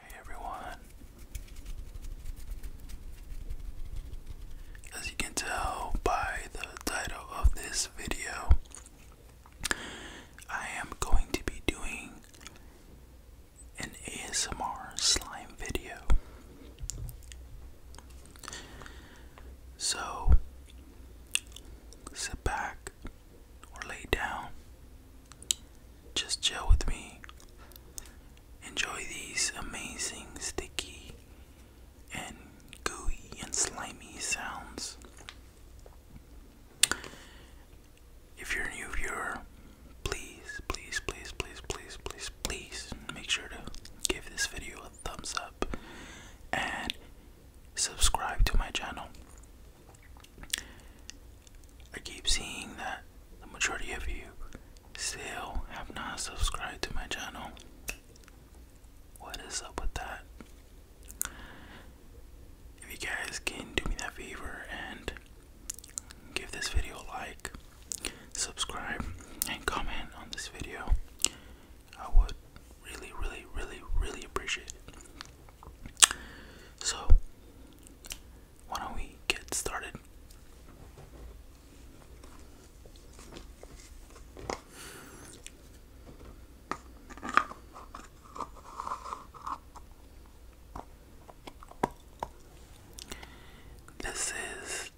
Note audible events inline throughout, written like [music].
Hey everyone. As you can tell by the title of this video, I am going to be doing an ASMR slime video. So sit back or lay down. Just chill with me. Enjoy these amazing sticky and gooey and slimy sounds. If you're a new viewer, please, please, please, please, please, please, please make sure to give this video a thumbs up and subscribe to my channel. I keep seeing that the majority of you still have not subscribed to my channel. What is up with that? If you guys can do me that favor and give this video a like, subscribe, and comment on this video, I would really, really, really, really appreciate it. So, why don't we get started? This is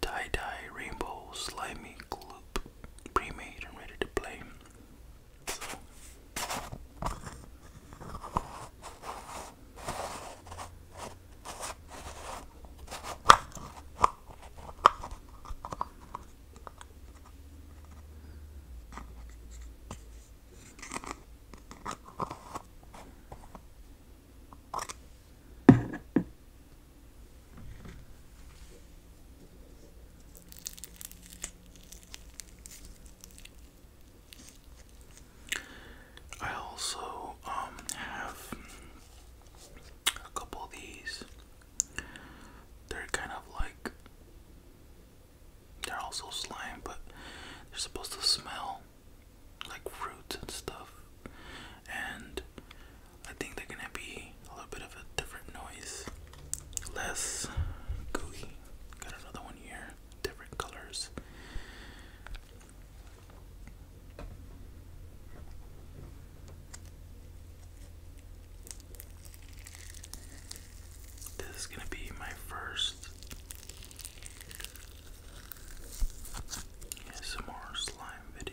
Tie Dye Rainbow Slimy Gloop pre-made and ready to play. I also um, have a couple of these. They're kind of like they're also slime, but they're supposed to smell like roots and stuff. And I think they're gonna be a little bit of a different noise, less gooey. Got another one here, different colors. This is gonna be my first some more slime video.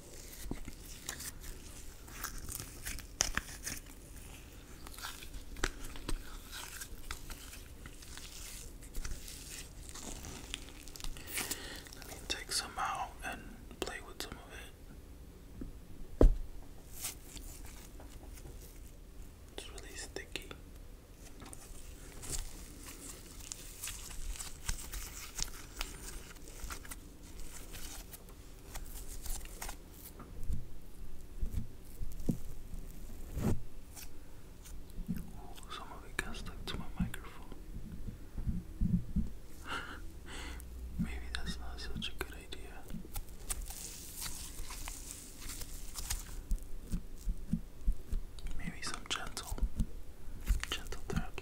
Let me take some out and play with some of it. It's really sticky some of it got stuck to my microphone. [laughs] Maybe that's not such a good idea. Maybe some gentle, gentle taps.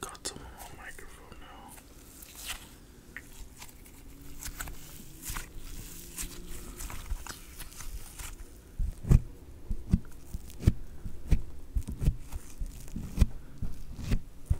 Got some on microphone now.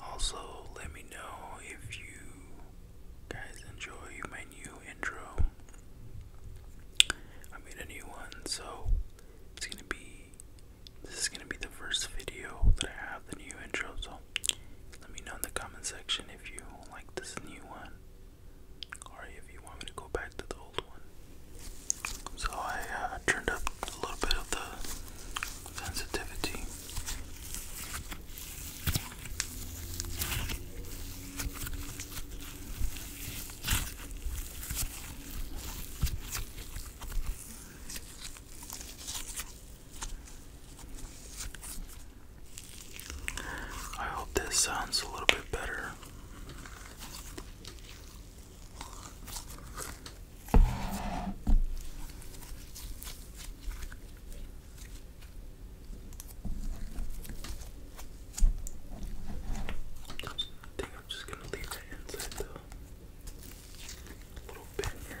Also, let me know if you guys enjoy my new intro. I made a new one, so it's gonna be this is gonna be the first video that I have the new intro. So let me know in the comment section if you like this new one. Or if you want me to go back to the old one. So I uh, turned up a little bit of the sensitivity. I hope this sounds a little bit better. I think I'm just gonna leave that inside though. A little bit here.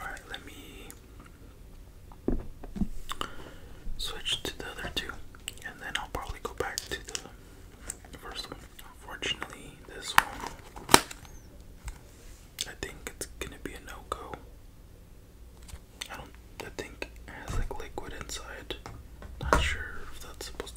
Alright, let me switch to the other two and then I'll probably go back to the, first one. Unfortunately, this one I think it's gonna be a no go. I don't I think it has like liquid inside. Not sure if that's supposed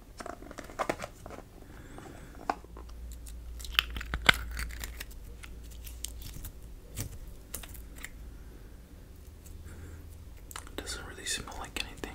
It doesn't really smell like anything.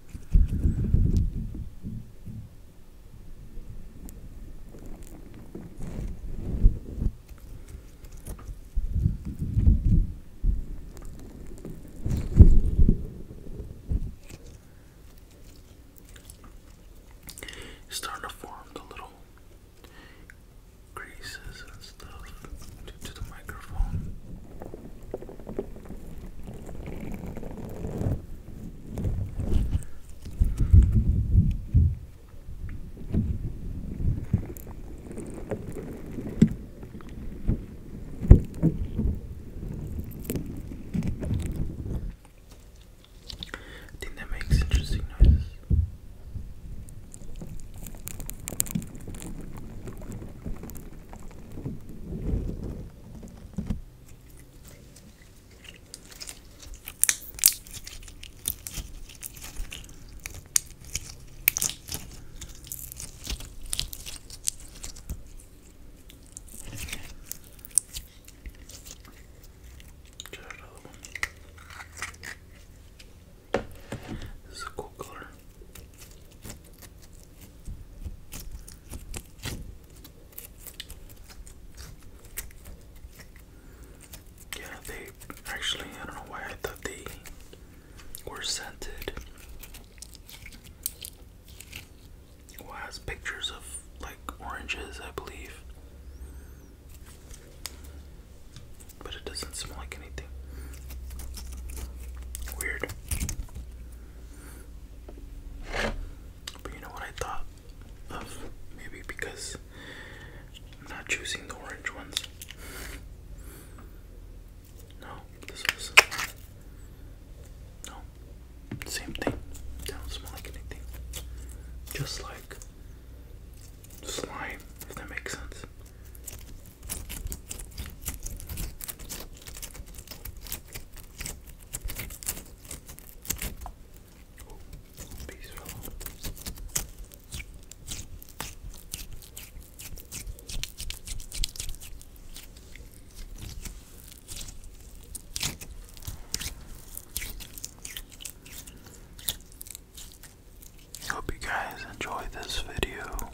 It's starting to form the little greases and stuff to, to the microphone. I think that makes interesting noises. Get another one. This is a cool color. Yeah, they actually, I don't know why I thought they were scented. it has pictures of like oranges, I believe. But it doesn't smell like anything. Weird. But you know what I thought of? Maybe because I'm not choosing the orange ones. No, this was no same thing. They not smell like anything. Just like slime, if that makes sense. Peaceful. Hope you guys enjoyed this video.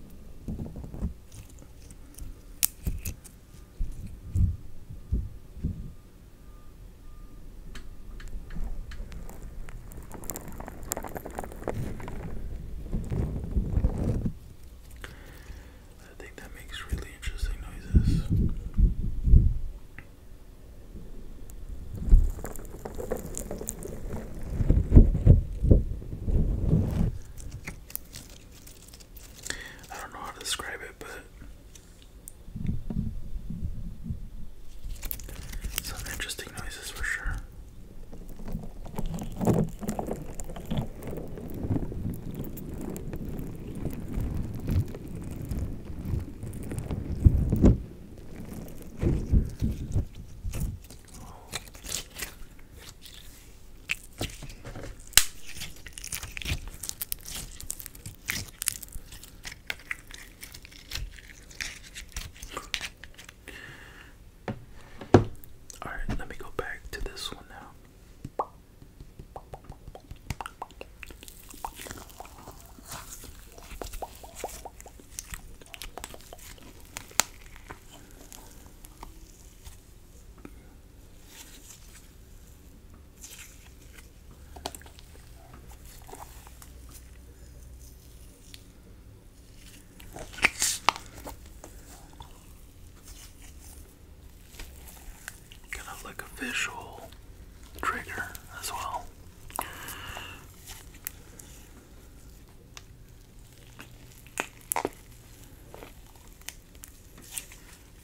I think that makes really interesting noises. I don't know how to describe it, but some interesting noises for sure. All right, let me go back to this one now. Kind of like a visual trigger as well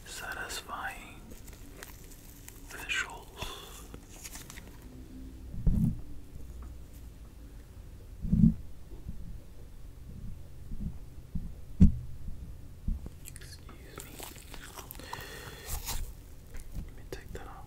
satisfying visuals. Excuse me. Let me take that off.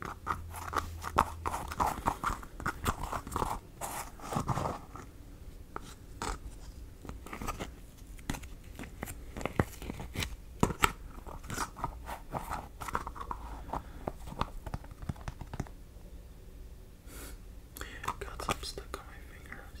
Got some stuck on my fingers.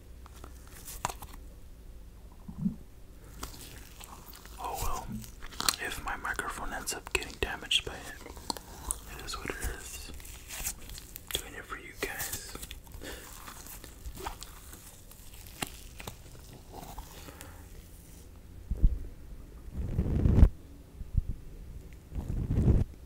Oh well, if my microphone ends up getting damaged by it, it is what it is. Doing it for you guys.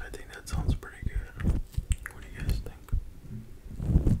I think that sounds pretty good. What do you guys think?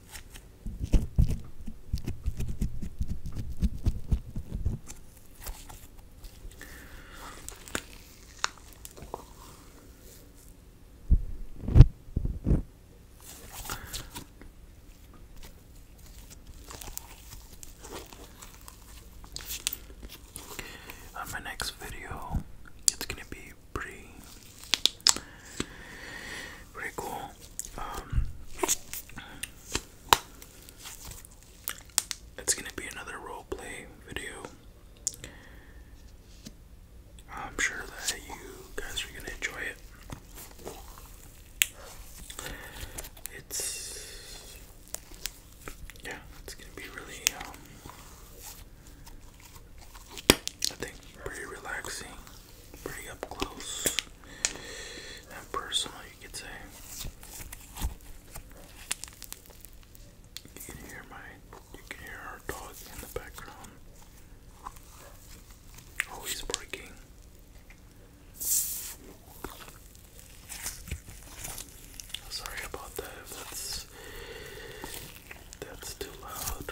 On my next video, it's gonna be pretty, pretty cool. Um, it's gonna be another role play video. I'm sure that you guys are gonna enjoy it. It's yeah, it's gonna be really um, I think pretty relaxing pretty up close and personal, you could say. You can hear my, you can hear our dog in the background. Oh, he's breaking. Sorry about that. that's that's too loud.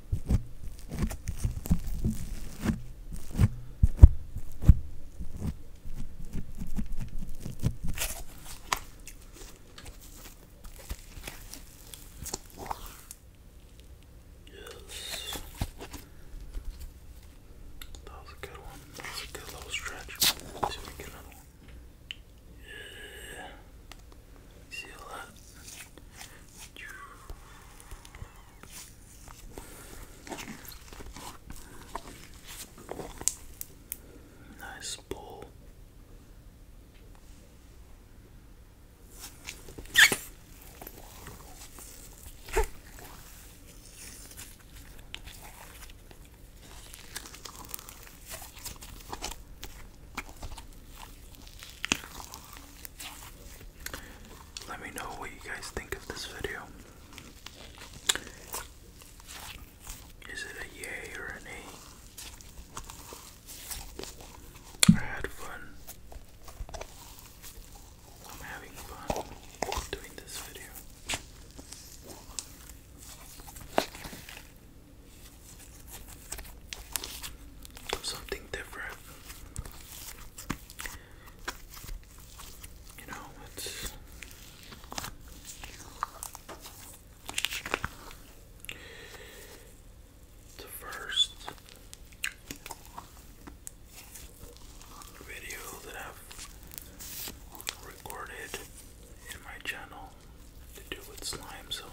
Yes. That was a good one. good little stretch. see if we get another one. Yeah. See all Nice ball. Let me know what you guys think of this video. Is it a yay or an a? I had fun. I'm having fun doing this video something different. You know, it's the first video that I've recorded in my channel to do with slime, so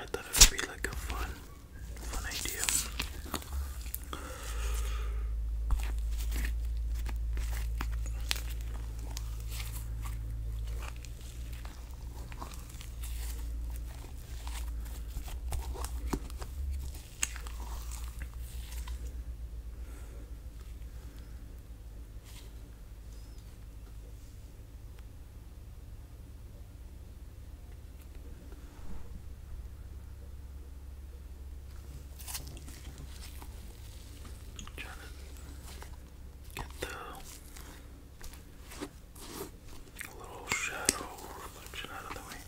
I thought it would be like a fun, fun idea. I'm trying to get the little shadow reflection out of the way.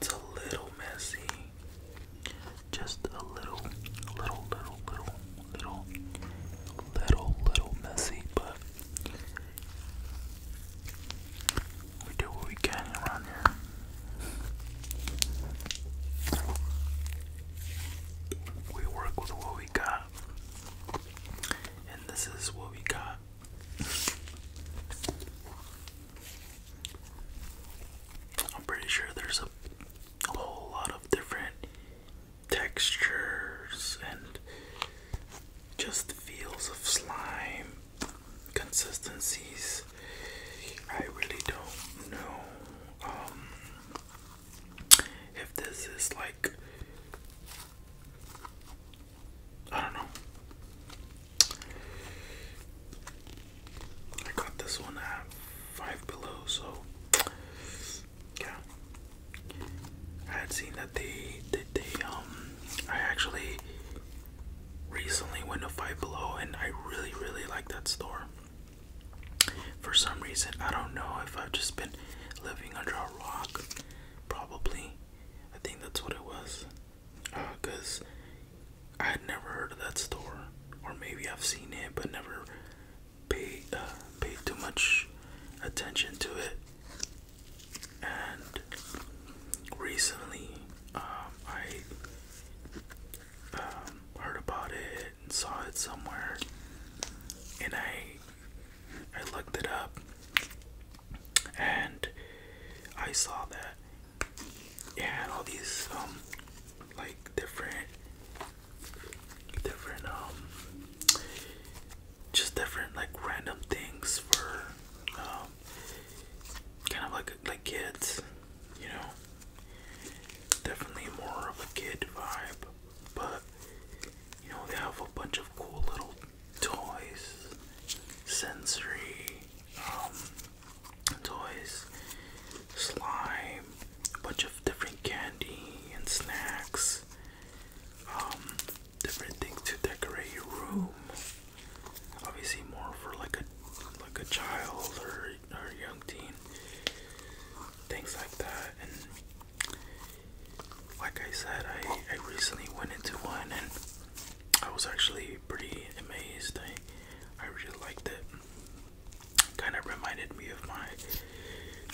It's a little messy. Just a little, little, little, little, little, little, little messy, but we do what we can around here. We work with what we got, and this is what we got. I'm pretty sure there's a, whole lot of different textures and just feels of slime consistencies. I really don't know um, if this is like I don't know. I got this one at Five Below, so yeah. I had seen that they did they um I actually recently went to Five Below and I really really like that store. For some reason, I don't know if I've just been living under a rock. Probably. I think that's what it was because I had never heard of that store, or maybe I've seen it but never paid uh, paid too much attention to it. And recently, um, I um, heard about it and saw it somewhere, and I I looked it up, and I saw that yeah, all these um like different different um just different like random things for um kind of like like kids, you know. Definitely more of a kid vibe, but you know, they have a bunch of cool little toys, sensory, um, toys, slime, a bunch of different candy and snacks, um, different things to decorate your room. Obviously, more for like a like a child or or young teen, things like that. And like I said, I I recently went into one and I was actually pretty amazed. I I really liked it kind of reminded me of my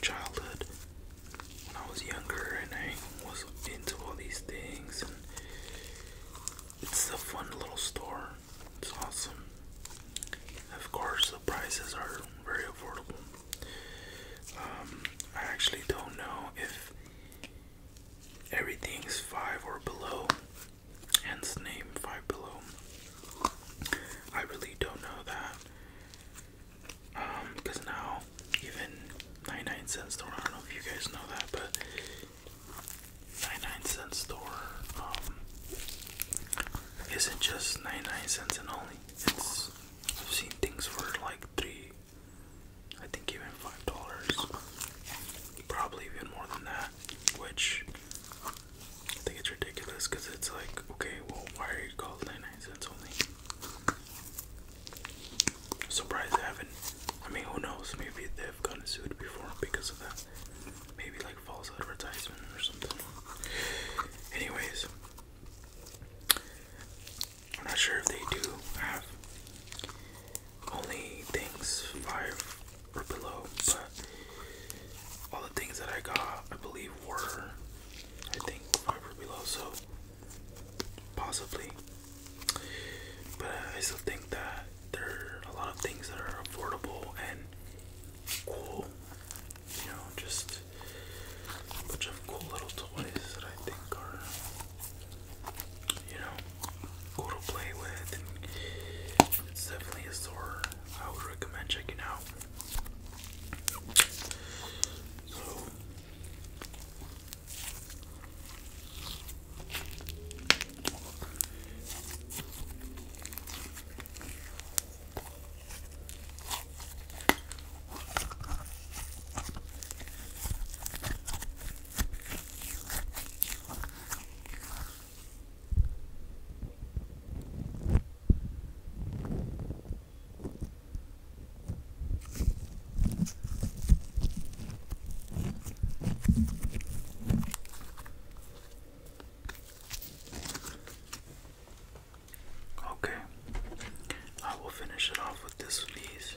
childhood when I was younger and I was into all these things. And it's a fun little store. It's awesome. Of course, the prices are very affordable. Um, I actually don't know if everything's five or below Hence name Five Below. I really don't know that. Um, because now even 99 cent store, I don't know if you guys know that, but 99 cent store, um, isn't just 99 cents and only. It's, I've seen things for like three, I think even five dollars, probably even more than that which I think it's ridiculous because it's like, okay, well, why are you called 99 only? Surprised haven't. I mean, who knows? Maybe they've gotten sued before because of that. Maybe like false advertisement or something. Anyways, I'm not sure if they do have only things five or below, but all the things that I got, I believe, were I think five or below, so possibly. But I still think that there are a lot of things that are affordable and cool, you know, just a bunch of cool little toys that I think are, you know, cool to play with, it's definitely a store I would recommend checking out. So, Okay, I will finish it off with this, please.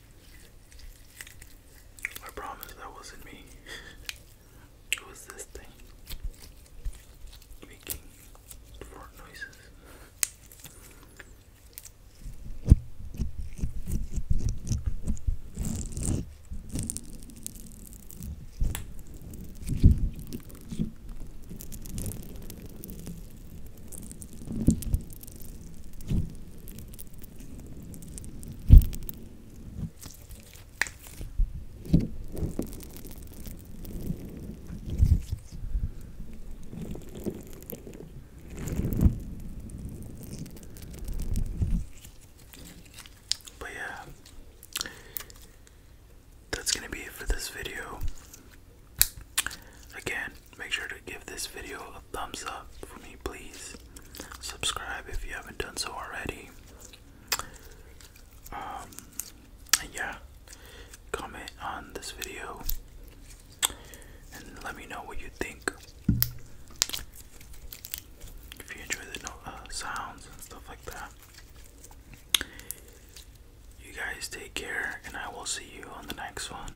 I promise that wasn't me. [laughs] it was this thing making fart noises. But yeah, that's going to be it for this video. Again, make sure to give this video thumbs up for me, please. Subscribe if you haven't done so already. Um, yeah, comment on this video and let me know what you think. If you enjoy the uh, sounds and stuff like that. You guys take care, and I will see you on the next one.